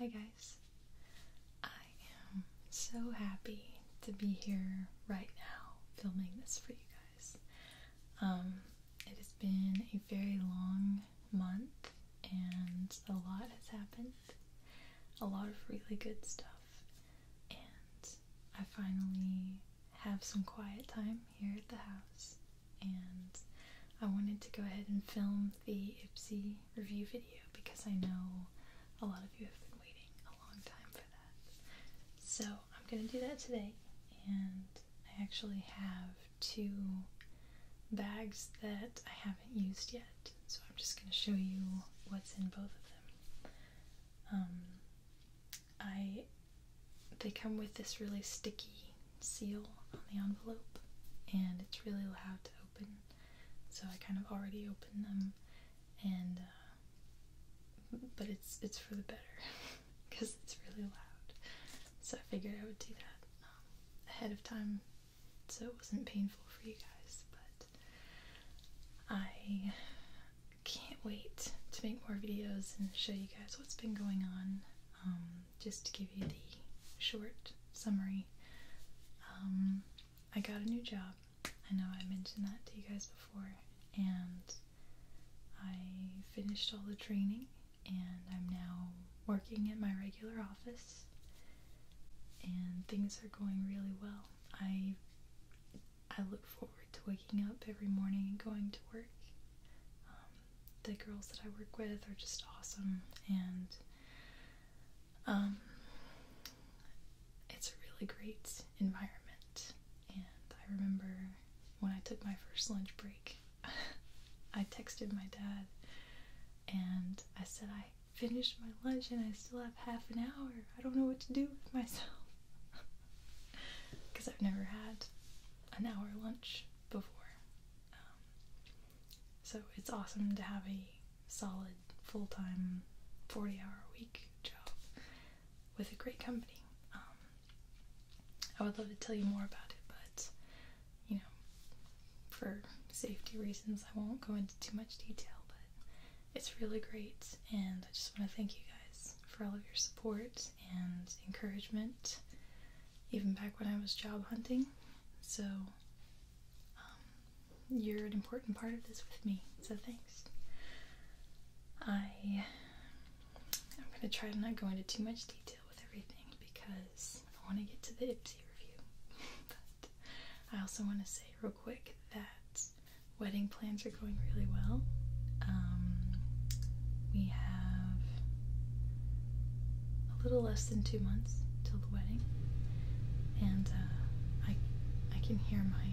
Hi guys. I am so happy to be here right now filming this for you guys. Um, it has been a very long month and a lot has happened. A lot of really good stuff. And I finally have some quiet time here at the house and I wanted to go ahead and film the Ipsy review video because I know a lot of you have been waiting a long time for that. So I'm gonna do that today, and I actually have two bags that I haven't used yet, so I'm just gonna show you what's in both of them. Um, I they come with this really sticky seal on the envelope, and it's really loud to open. So I kind of already opened them, and uh, but it's it's for the better because it's really loud. So I figured I would do that um, ahead of time, so it wasn't painful for you guys. But I can't wait to make more videos and show you guys what's been going on. Um, just to give you the short summary, um, I got a new job. I know I mentioned that to you guys before, and I finished all the training, and I'm now working at my regular office, and things are going really well. I I look forward to waking up every morning and going to work. Um, the girls that I work with are just awesome, and um, it's a really great environment. And I remember when I took my first lunch break, I texted my dad and I said, I finished my lunch and I still have half an hour. I don't know what to do with myself. Because I've never had an hour lunch before. Um, so it's awesome to have a solid full time 40 hour a week job with a great company. Um, I would love to tell you more about it, but you know, for safety reasons, I won't go into too much detail. But it's really great, and I just want to thank you guys for all of your support and encouragement even back when I was job hunting. So, um, you're an important part of this with me, so thanks. I, I'm going to try to not go into too much detail with everything because I want to get to the Ipsy review. but I also want to say real quick that wedding plans are going really well. Um, we have a little less than two months till the wedding, and uh, I I can hear my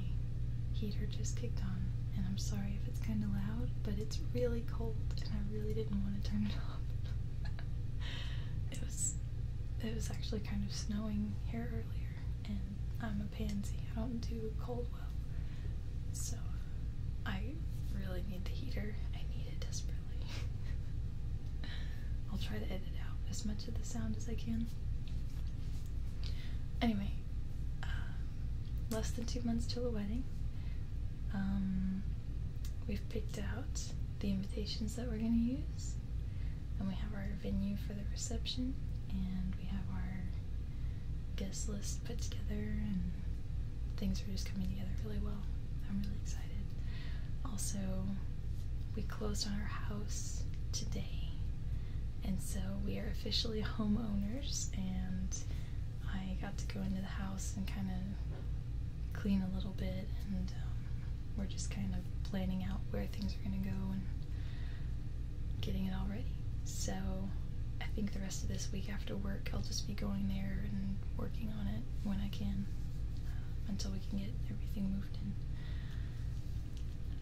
heater just kicked on, and I'm sorry if it's kind of loud, but it's really cold, and I really didn't want to turn it off. it was it was actually kind of snowing here earlier, and I'm a pansy. I don't do cold well, so I really need the heater. I need it desperately. I'll try to edit out as much of the sound as I can. Anyway, um, less than two months till the wedding. Um, we've picked out the invitations that we're going to use, and we have our venue for the reception, and we have our guest list put together and things are just coming together really well. I'm really excited. Also, we closed on our house today, and so we are officially homeowners. And I got to go into the house and kind of clean a little bit, and um, we're just kind of planning out where things are going to go and getting it all ready. So, I think the rest of this week after work, I'll just be going there and working on it when I can uh, until we can get everything moved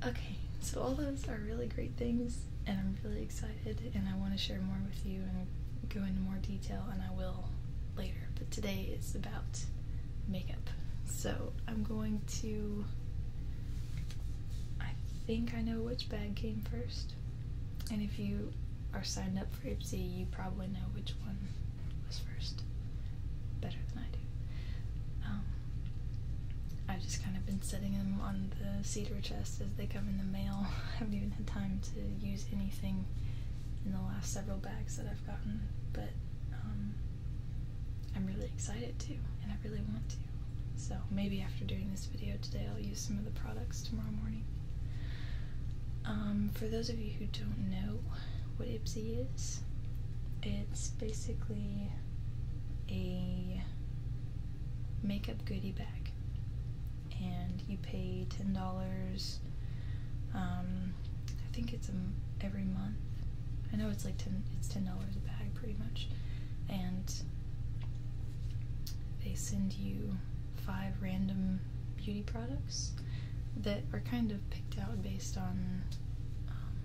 in. Okay, so all those are really great things, and I'm really excited, and I want to share more with you and go into more detail, and I will later. But today is about makeup. So I'm going to. I think I know which bag came first. And if you are signed up about you probably know which one was first better than I do. Um, I've just kind of been setting them on the cedar chest as they come in the mail. I haven't even had time to use anything in the last several bags that I've gotten, but um, I'm really excited to, and I really want to. So maybe after doing this video today. I'll use some of the products tomorrow morning. Um, for those of you who don't know what Ipsy is, it's basically a makeup goodie bag. And you pay $10, um, I think it's a, every month. I know it's like 10 it's $10 a bag pretty much. And they send you five random beauty products that are kind of picked out based on um,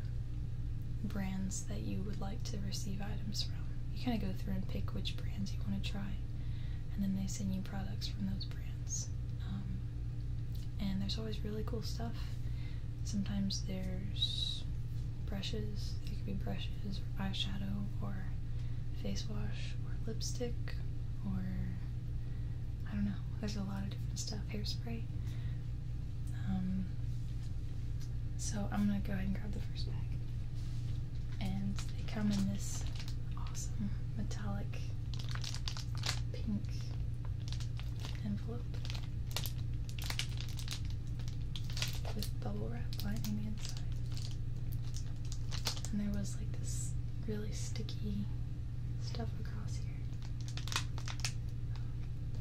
brands that you would like to receive items from. You kind of go through and pick which brands you want to try, and then they send you products from those brands. Um, and there's always really cool stuff. Sometimes there's brushes, It could be brushes, or eyeshadow, or face wash or lipstick or I don't know. There's a lot of different stuff. Hairspray. Um, so I'm gonna go ahead and grab the first bag. And they come in this awesome metallic pink envelope with bubble wrap lining the inside and there was like this really sticky stuff across here.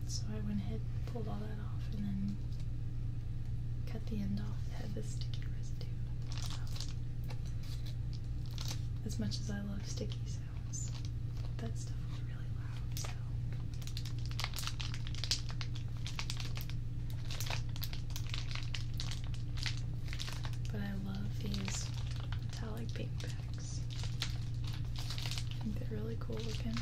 So I went ahead pulled all that off and then cut the end off that had the sticky residue. as much as I love sticky sounds, that stuff was really loud, but I love these metallic pink packs. I think they're really cool looking.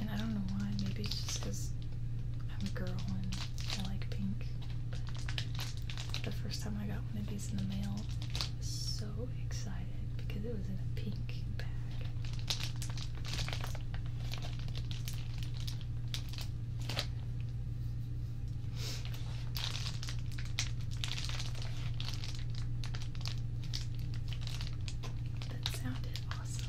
And I don't know why, maybe it's just because I'm a girl and I like pink. But the first time I got happened to these in the mail. so excited because it was in a pink bag. That sounded awesome.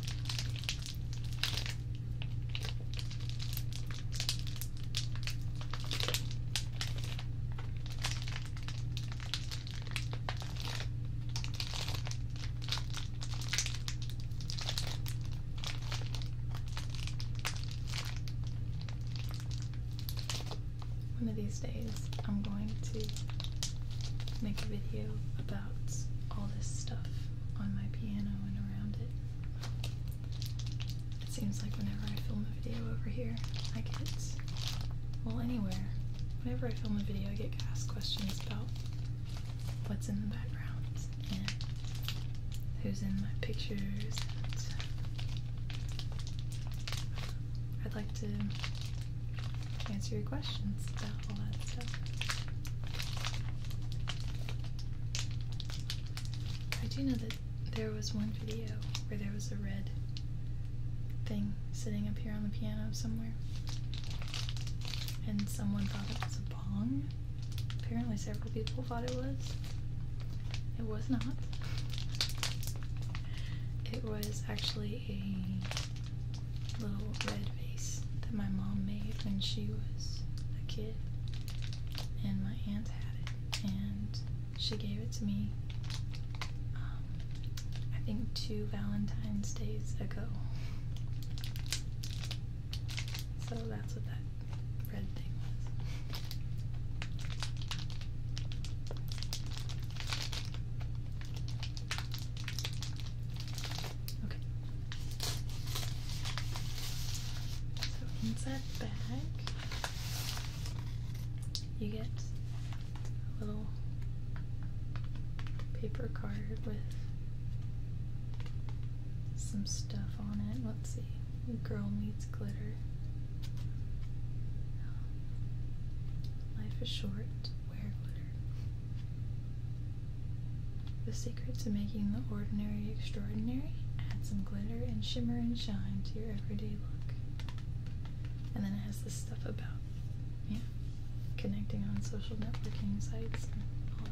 One of these days, I'm going to make a video about all this stuff on my piano and around it. It seems like whenever I film a video over here, I get, well, anywhere, whenever I film a video, I get asked questions about what's in the background and who's in my pictures. And I'd like to answer your questions about all that stuff. I do know that there was one video where there was a red thing sitting up here on the piano somewhere. And someone thought it was a bong. Apparently several people thought it was. It was not. It was actually a little red vase that my mom made when she was a kid. And my aunt had it and she gave it to me. Um, I think two Valentine's days ago. So that's what that red thing was. Okay. So inside that you get a little paper card with some stuff on it. Let's see. Girl needs glitter. Life is short. Wear glitter. The to making the ordinary extraordinary? Add some glitter and shimmer and shine to your everyday look. And then it has this stuff about yeah, connecting on social networking sites and all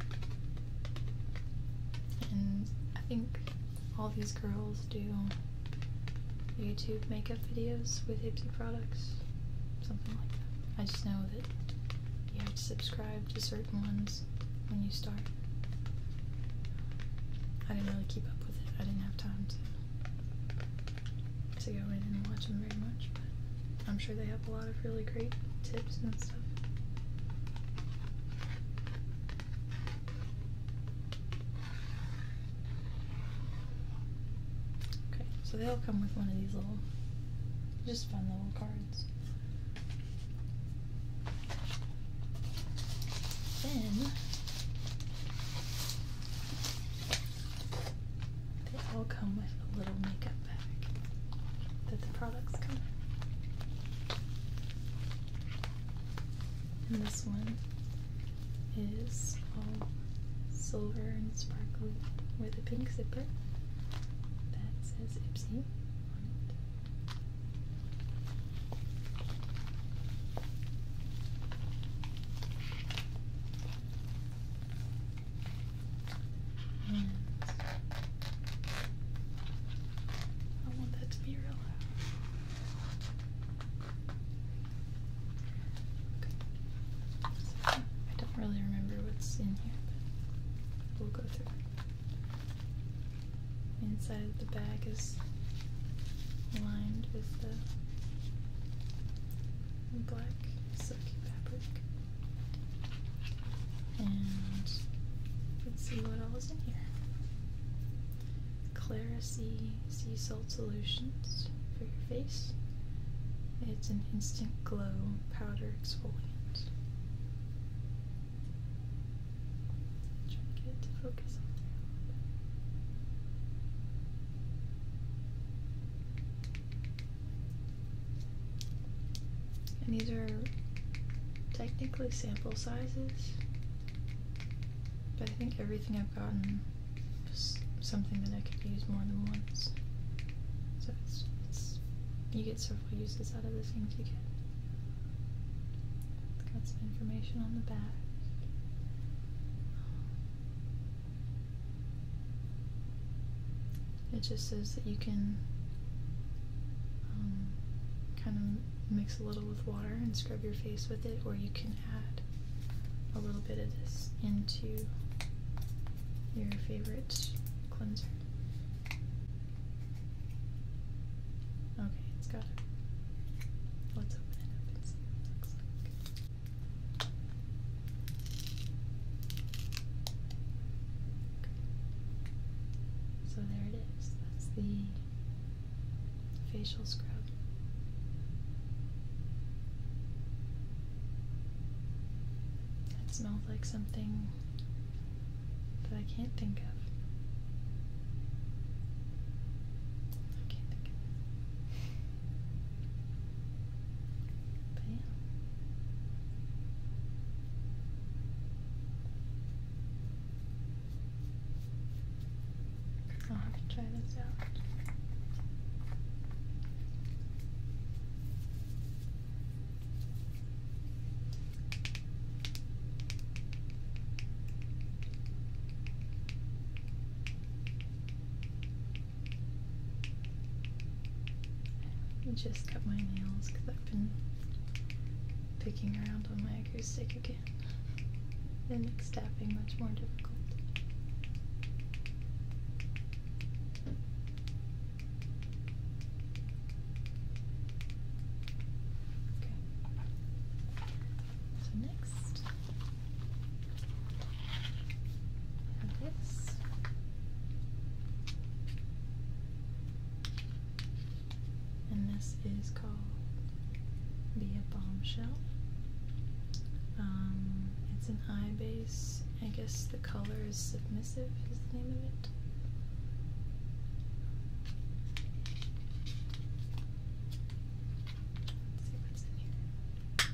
that. And I think all these girls do YouTube makeup videos with Ipsy products, something like that. I just know that you have to subscribe to certain certain ones when you start. I didn't really keep up with it. I didn't have time to to I didn't watch them very much, but I'm sure they have a lot of really great tips and stuff. Okay, so they will come with one of these little, just fun little cards. Then they all come with a little makeup bag that the products come in. And this one is all silver and sparkly with a pink zipper that says Ipsy on it. I want that to be real I don't really remember what's in here, but we'll go through Inside of the bag is lined with the black silky fabric. And let's see what else is in here. Clara C Sea Salt Solutions for your face. It's an instant glow powder exfoliant. Try it focus on And these are technically sample sizes, but I think everything I've gotten was something that I could use more than once. So it's you get so we use this out of the same you it got some information on the back. It just says that you can um, kind of mix a little with water and scrub your face with it, or you can add a little bit of this into your favorite cleanser. Okay, it's got it. Let's open it up So there it is. That's the facial scrub. It smells like something that I can't think of. I can't think of it. I'll have to try this out. I just cut my nails because I've been picking around on my acoustic again and it's tapping much more difficult. So next, this. And this is called Be a Bombshell. Um, it's an eye base. I guess the color is submissive, is the name of it see what's in here.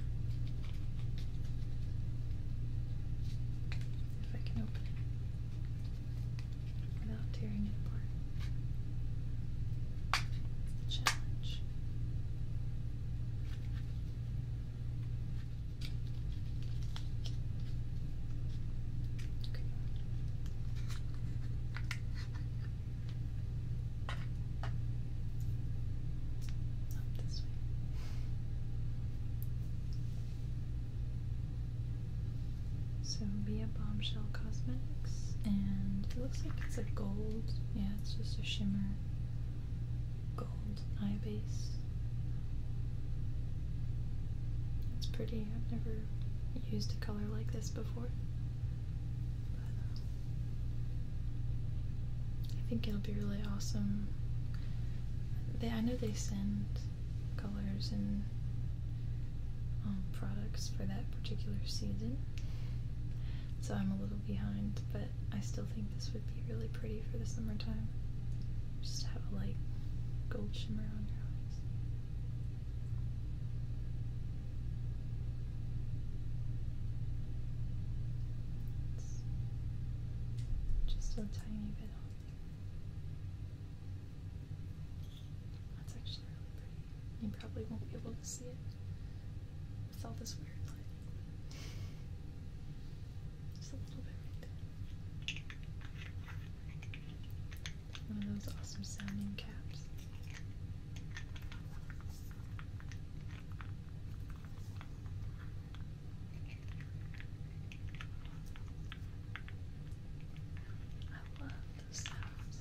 If I can open it without tearing it apart. challenge. So this way. Bombshell Cosmetics, and it looks like it's a gold. Yeah, it's just a shimmer gold eye base. It's pretty. I've never used a color like this before. I think it'll be really awesome. They, I know they send colors and um, products for that particular season, so I'm a little behind, but I still think this would be really pretty for the summertime. Just have a light gold shimmer on your eyes. just a tiny bit on That's actually really pretty. You probably won't be able to see it with all this weird lighting. Just a little bit right there. One of those awesome sounding caps. I love those sounds.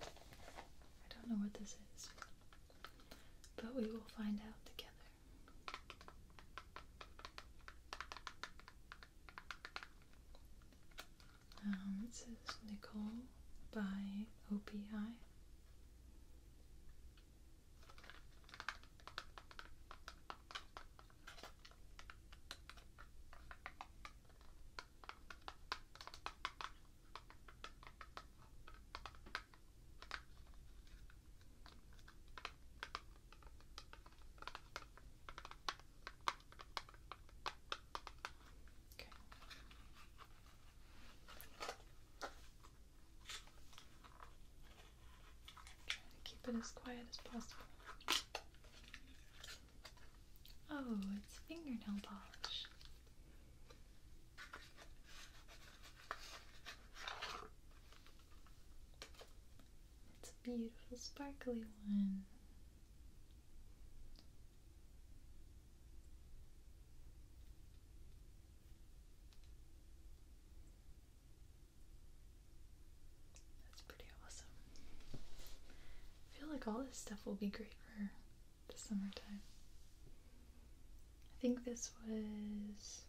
I don't know what this is, but we will find out together. Um, it Nicole by OPI. Trying to keep it as quiet as possible. Oh, it's fingernail polish. It's a beautiful, sparkly one. That's pretty awesome. I feel like all this stuff will be great for the summertime. I think this was.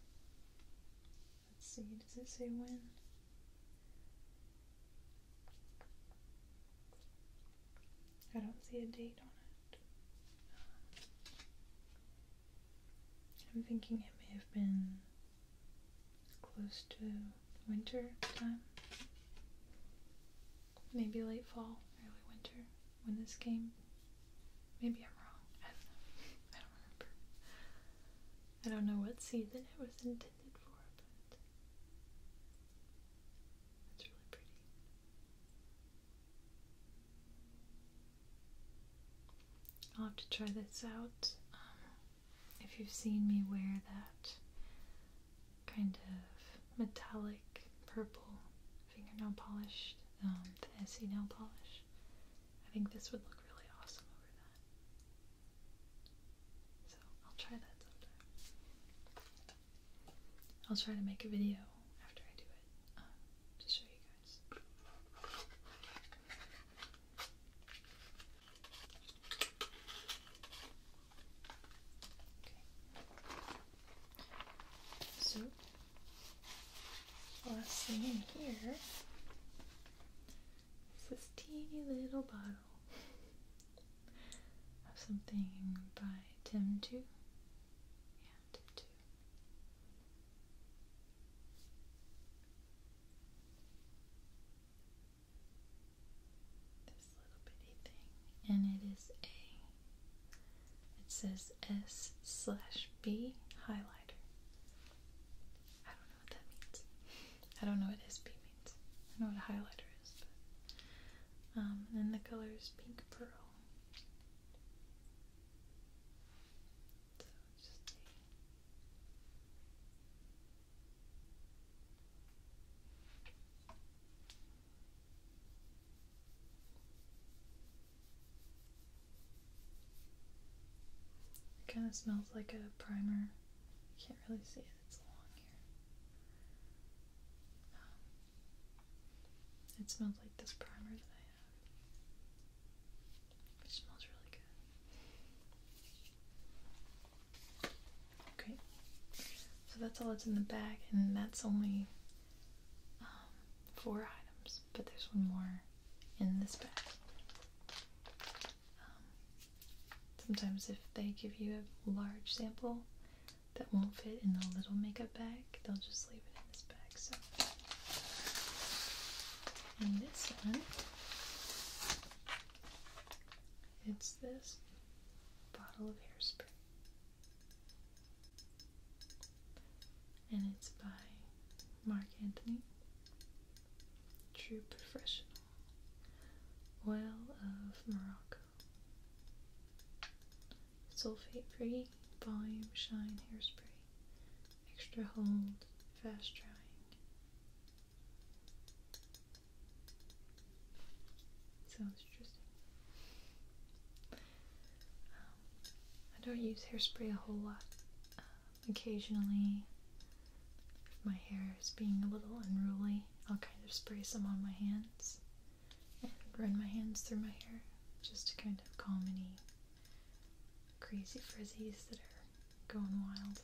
Let's see, does it say when? I don't see a date on it. Um, I'm thinking it may have been close to winter time. Maybe late fall, early winter, when this came, Maybe I'm wrong. I don't know. I don't remember. I don't know what season it was intended for, but it's really pretty. I'll have to try this out. Um, if you've seen me wear that kind of metallic purple fingernail polish, um, Essie nail polish, I think this would look really awesome over that. So I'll try that sometime. I'll try to make a video after I do it um, to show you guys. So last thing in here is this teeny little bottle of something by Tim Two. Yeah, Tim Two this little bitty thing, and it is a. It says S slash B highlighter. I don't know what that means. I don't know what SB means. I know what a highlighter is, but um, and the color is pink pearl. It kind of smells like a primer. You can't really see it, it's long here. Um, it smells like this primer that I have. which smells really good. Okay, so that's all that's in the bag, and that's only um, four items, but there's one more in this bag. Um, sometimes, if they give you a large sample that won't fit in the little makeup bag, they'll just leave it in this bag. So, and this one it's this bottle of hairspray. And it's by Mark Anthony. True Professional. Oil of Morocco. Sulfate free, volume, shine, hairspray. Extra hold, fast drying. Sounds interesting. Um, I don't use hairspray a whole lot. Um, occasionally, if my hair is being a little unruly, I'll kind of spray some on my hands and run my hands through my hair just to kind of calm any crazy frizzies that are going wild.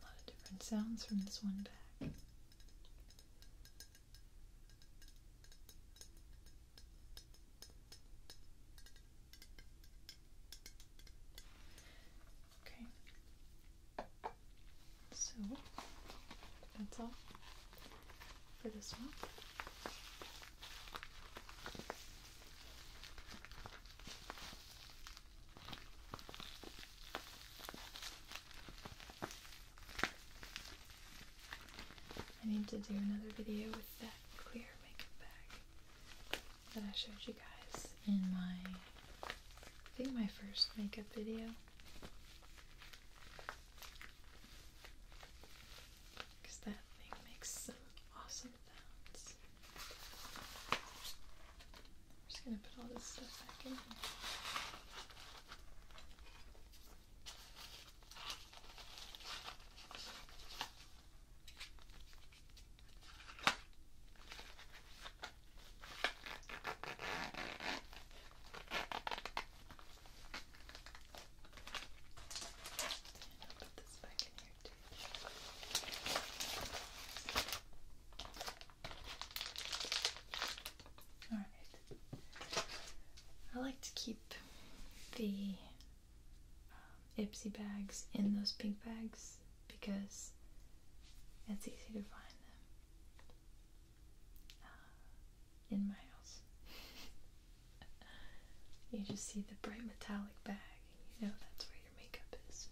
A lot of different sounds from this one back. Okay. So that's all for this one. I need to do another video with that clear makeup bag that I showed you guys in my I think my first makeup video. Because that makes some awesome sounds. I'm just gonna put all this stuff back in i Alright. I like to keep the um, Ipsy bags in those pink bags because it's easy to find them uh, in my house. you just see the bright metallic bag, you know that's where your makeup is.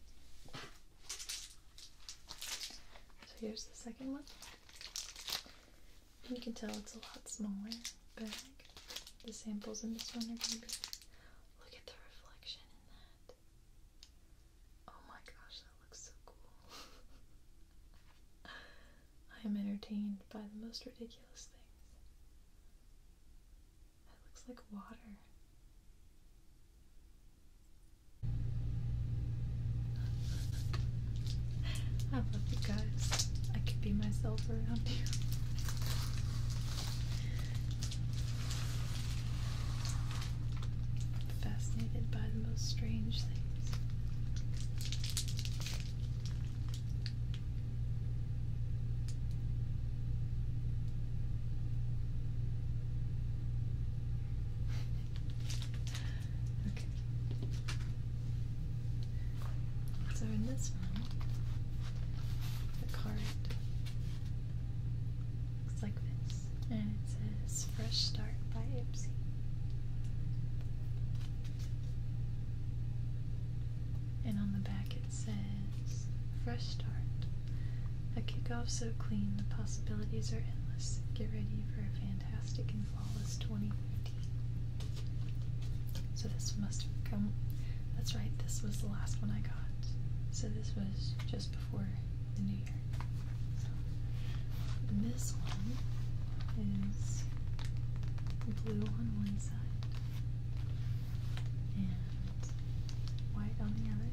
So here's the second one. You can tell it's a lot smaller bag. The samples in this one are going to be. Look at the reflection in that. Oh my gosh, that looks so cool. I am entertained by the most ridiculous things. That looks like water. I love you guys. I could be myself around you. fascinated by the most strange things. okay. So in this one, the card Looks like this. And it says Fresh Start by Ipsy. And on the back it says Fresh Start. A kick off so clean, the possibilities are endless. Get ready for a fantastic and flawless 2015. So this must have come. That's right, this was the last one I got. So this was just before the new this one is blue on one side and white on the other.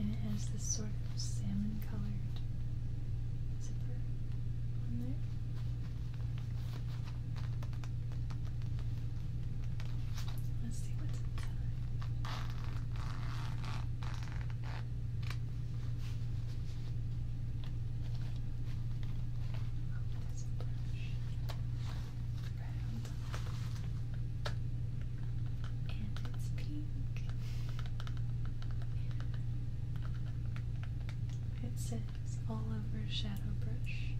And it has this sort of salmon colored zipper on there. Let's see what's inside. Oh, there's And it's pink. It says all over shadow brush.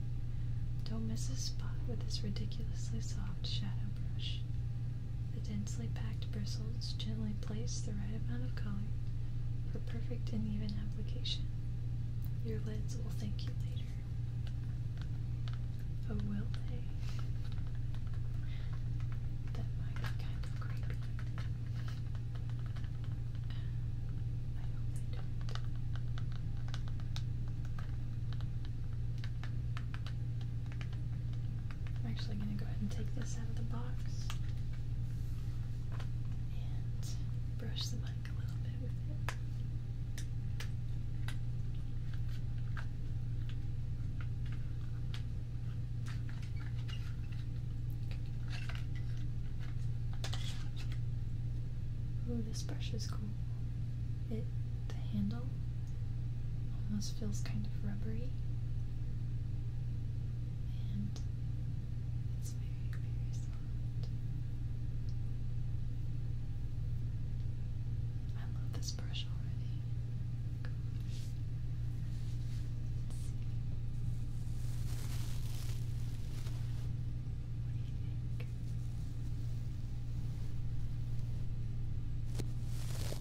Don't miss a spot with this ridiculously soft shadow brush. The densely packed bristles gently place the right amount of color for perfect and even application. Your lids will thank you later. Oh, will they? That might be kind of creepy. I am actually going to go ahead and take this out of the box and brush the mic a little bit with it. Ooh, this brush is cool. It, the handle, almost feels kind of rubbery, and it's very, very soft. I love this brush already. Let's see. What do you think? It's pretty soft.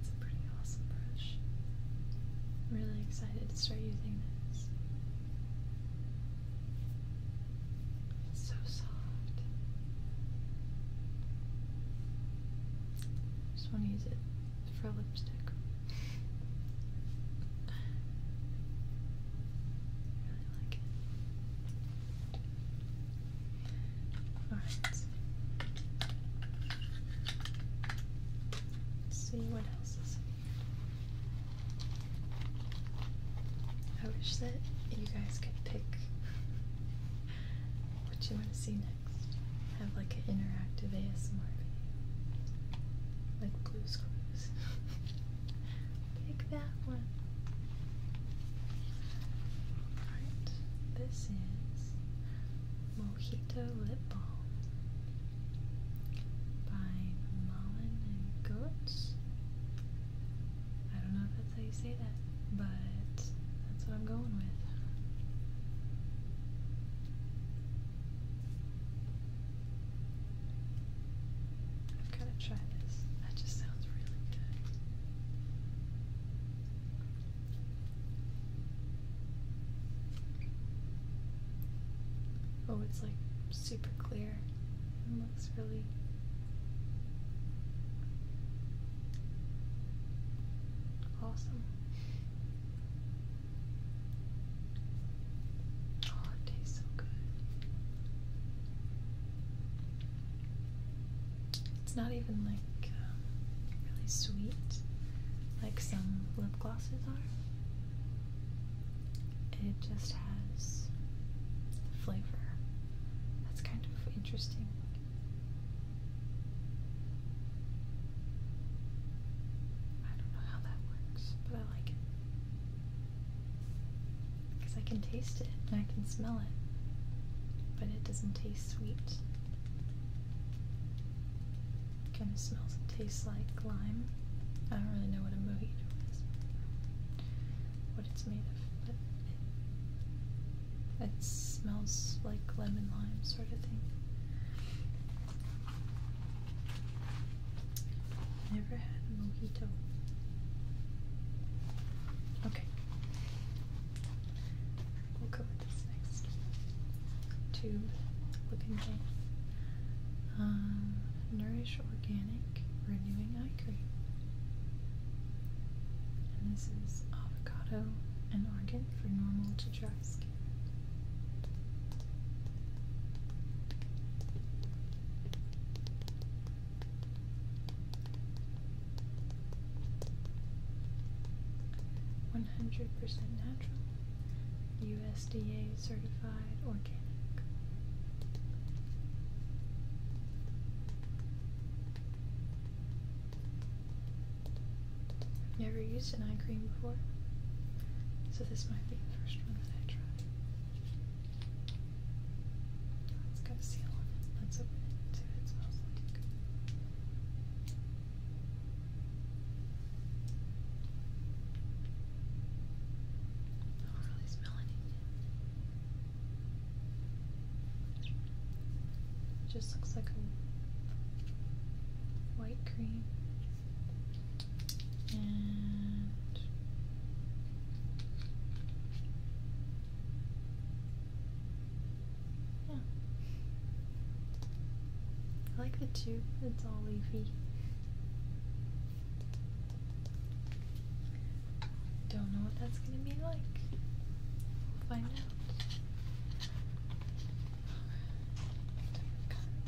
It's a pretty awesome brush. I'm really excited to start using this. It's so soft. just want to use it for lipstick. really like it. All right. Let's see what else is. I wish that you guys could pick what you want to see next. Have like an interactive ASMR video. Like Blue's Clues. pick that one this is Mojito Lip Balm by Mullen and Goats. I don't know if that's how you say that, but that's what I'm going with. I've got to try this. That just sounds really good. Oh, it's like super clear and looks really awesome. Oh, it tastes so good. It's not even like um, really sweet like some lip glosses are. It just has the flavor. That's kind of interesting. I don't know how that works, but I like it. Because I can taste it and I can smell it, but it doesn't taste sweet. Kind of smells and tastes like lime. I don't really know what a mojito is, what it's made of, but it, smells like lemon lime sort of thing. Never had a mojito. Okay we'll go with this next tube looking thing. Um, Nourish Organic Renewing Eye Cream. And this is avocado and argan for normal to dry skin. 100% natural, USDA certified organic. I've never used an eye cream before, so this might be the first one that I try. It's got a seal Let's open it and see if it smells like don't really smell anything. It just looks like a white cream and yeah. I like the tube, it's all leafy. Don't know what that's gonna be like. We'll find out.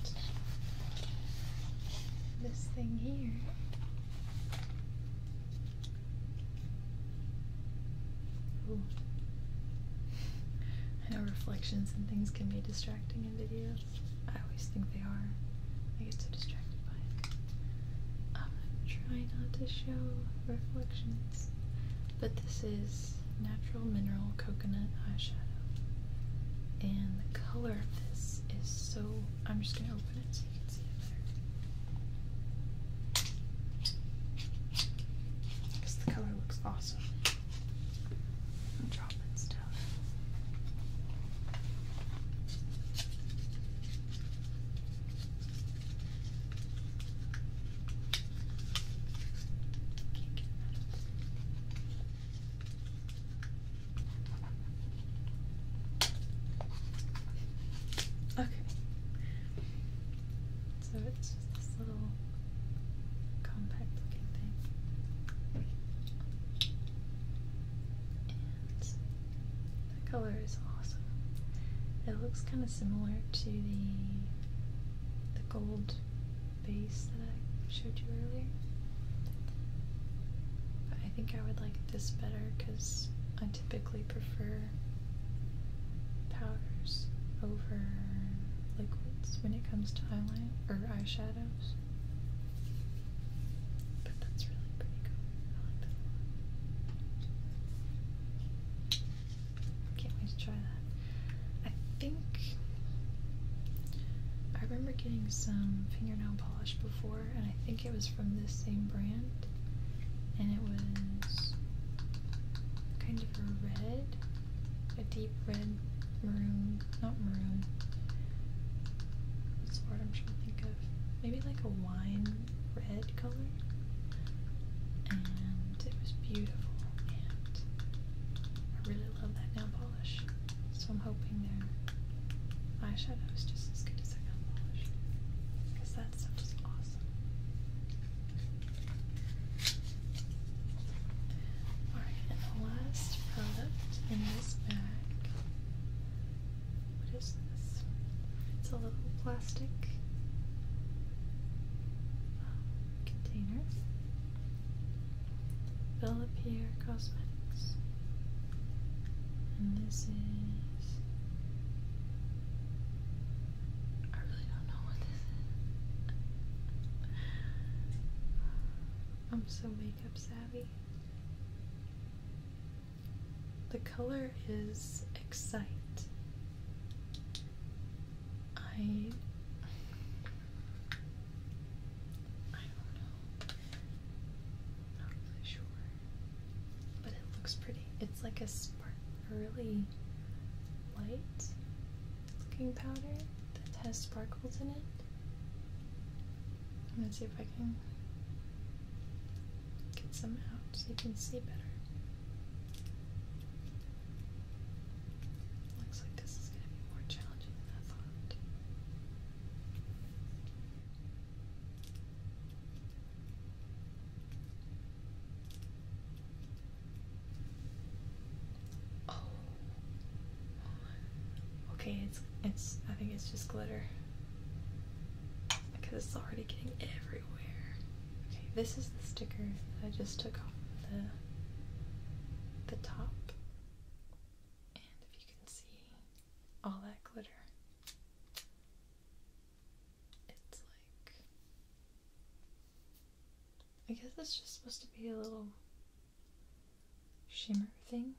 Cut. This thing here I know reflections and things can be distracting in videos. I always think they are. I get so distracted by it. I'm trying not to show reflections, but this is natural mineral coconut eyeshadow, and the color of this is so. I'm just gonna open it so you can because the color looks awesome. I'm dropping stuff. Okay. So it's just this little compact looking thing. And the color is awesome. It looks kind of similar to the the gold base that I showed you earlier. But I think I would like this better because I typically prefer powders over liquids when it comes to eyeliner or eyeshadows. But that's really pretty cool. Can't wait to try that. I think I remember getting some fingernail polish before and I think it was from this same brand, and it was kind of a red, a deep red maroon, not maroon. What's the word I'm trying to think of? Maybe like a wine red color, and it was beautiful. And I really love that nail polish, so I'm hoping their eyeshadow is just as good as their nail polish because Alright, and the last product in this bag. What is this? It's a little plastic um, container. Bella Pierre Cosmetics. And this is I really don't know what this is. I'm so makeup savvy. The color is Excite. I. I don't know. Not really sure. But it looks pretty. It's like a sparkly light looking powder that has sparkles in it. I'm gonna see if I can get some out so you can see better. Looks like this is gonna be more challenging than I thought. Oh. Okay, it's it's I think it's just glitter. Because it's already getting everywhere. Okay, this is the sticker that I just took off the the top. And if you can see all that glitter it's like I guess it's just supposed to be a little shimmer thing.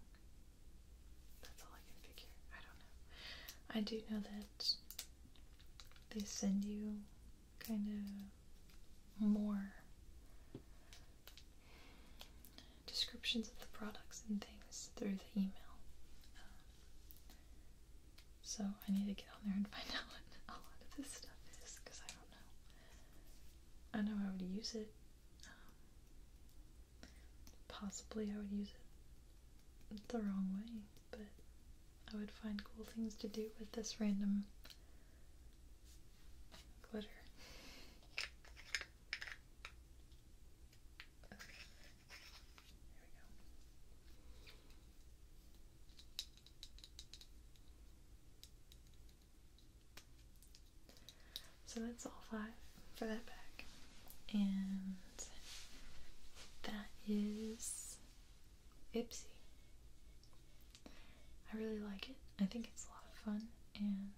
That's all I can figure. I don't know. I do know that they send you kind of more descriptions of the products and things through the email. Um, so I need to get on there and find out what a lot of this stuff is because I don't know. I know I would use it. possibly I would use it the wrong way, but I would find cool things to do with this random glitter. So that's all five for that pack. And that is Ipsy. I really like it. I think it's a lot of fun and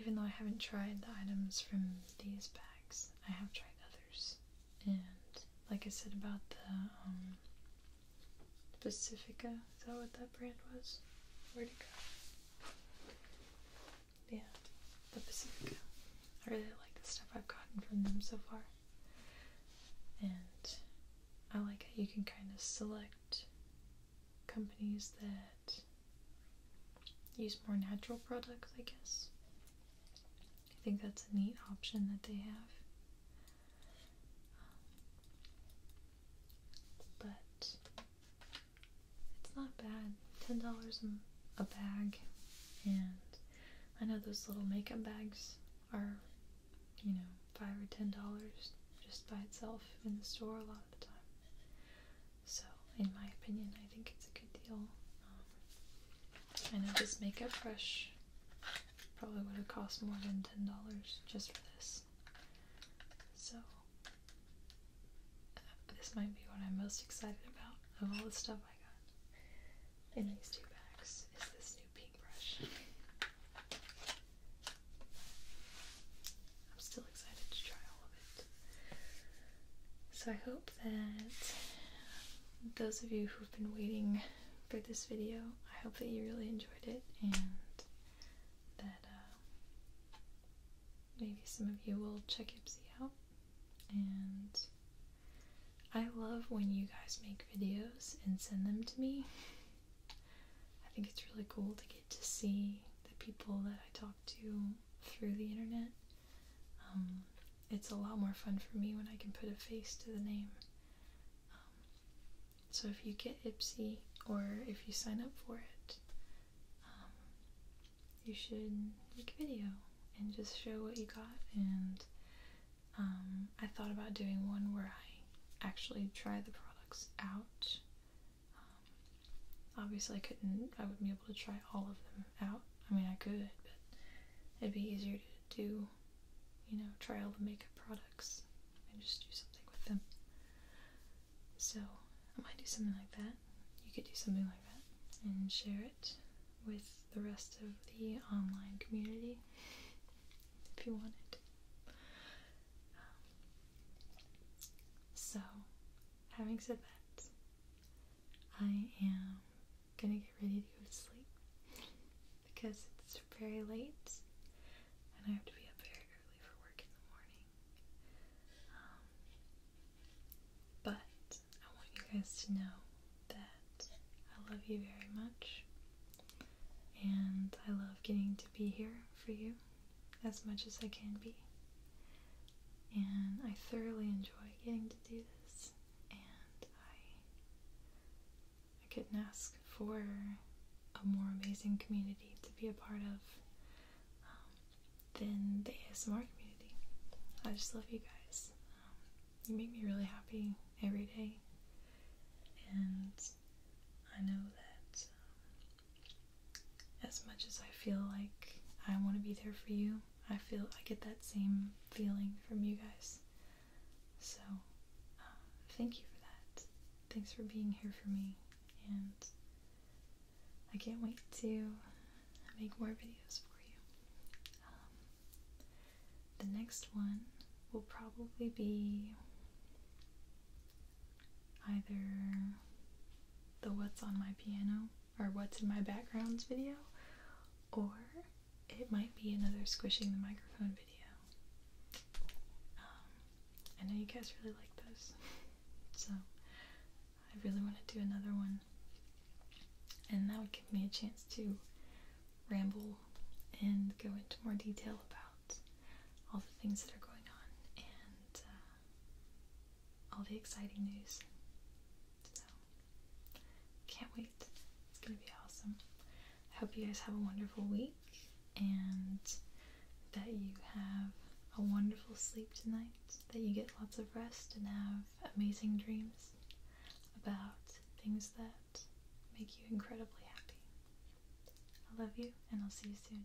even though I haven't tried the items from these packs, I have tried other and like I said about the um, Pacifica, is that what that brand was? Where'd it go? Yeah, the Pacifica. I really like the stuff I've gotten from them so far. And I like how you can kind of select companies that use more natural products, I guess. I think that's a neat option that they have. but it's not bad. Ten dollars a bag, and I know those little makeup bags are, you know, five or ten dollars just by itself in the store a lot of the time. So, in my opinion, I think it's a good deal. Um, I know this Makeup brush probably would have cost more than $10 just for this. So, uh, this might be what I'm most excited about of all the stuff I got in these two bags is this new pink brush. I'm still excited to try all so I hope that those of you who've been waiting for this video, I hope that you really enjoyed it and that uh, maybe some of you will check Ipsy out. And I love when you guys make videos and send them to me. I think it's really cool to get to see the people that I talk to through the internet um, it's a lot more fun for me when I can put a face to the name. Um, so if you get Ipsy or if you sign up for it, um, you should make a video and just show what you got. And I thought about doing one where I actually try the products out. obviously, I couldn't, I wouldn't be able to try all of them out. I mean, I could, but it'd be easier to do, you know, try all the makeup products and just do something with them. So I might do something like that. You could do something like that and share it with the rest of the online community if you wanted. Um, so, having said that, I am gonna get ready to go to sleep because it's very late and I have to be up very early for work in the morning. Um, but I want you guys to know that I love you very much and I love getting to be here for you as much as I can be and I thoroughly enjoy getting to do this and I I couldn't ask for a more amazing community to be a part of um, than the ASMR community. I just love you guys. Um, you make me really happy every day and I know that um, as much as I feel like I want to be there for you, I feel I get that same feeling from you guys. So uh, thank you for that. Thanks for being here for me, and I can't wait to make more videos for you. Um, the next one will probably be either the What's on My Piano or what's in my backgrounds video, or it might be another squishing the microphone video. Um, I know you guys really like those, so I really want to do another one, and that would give me a chance to ramble and go into more detail about all the things that are going on and uh, all the exciting news can't wait. It's going to be awesome. I hope you guys have a wonderful week and that you have a wonderful sleep tonight, that you get lots of rest and have amazing dreams about things that make you incredibly happy. I love you, and I'll see you soon.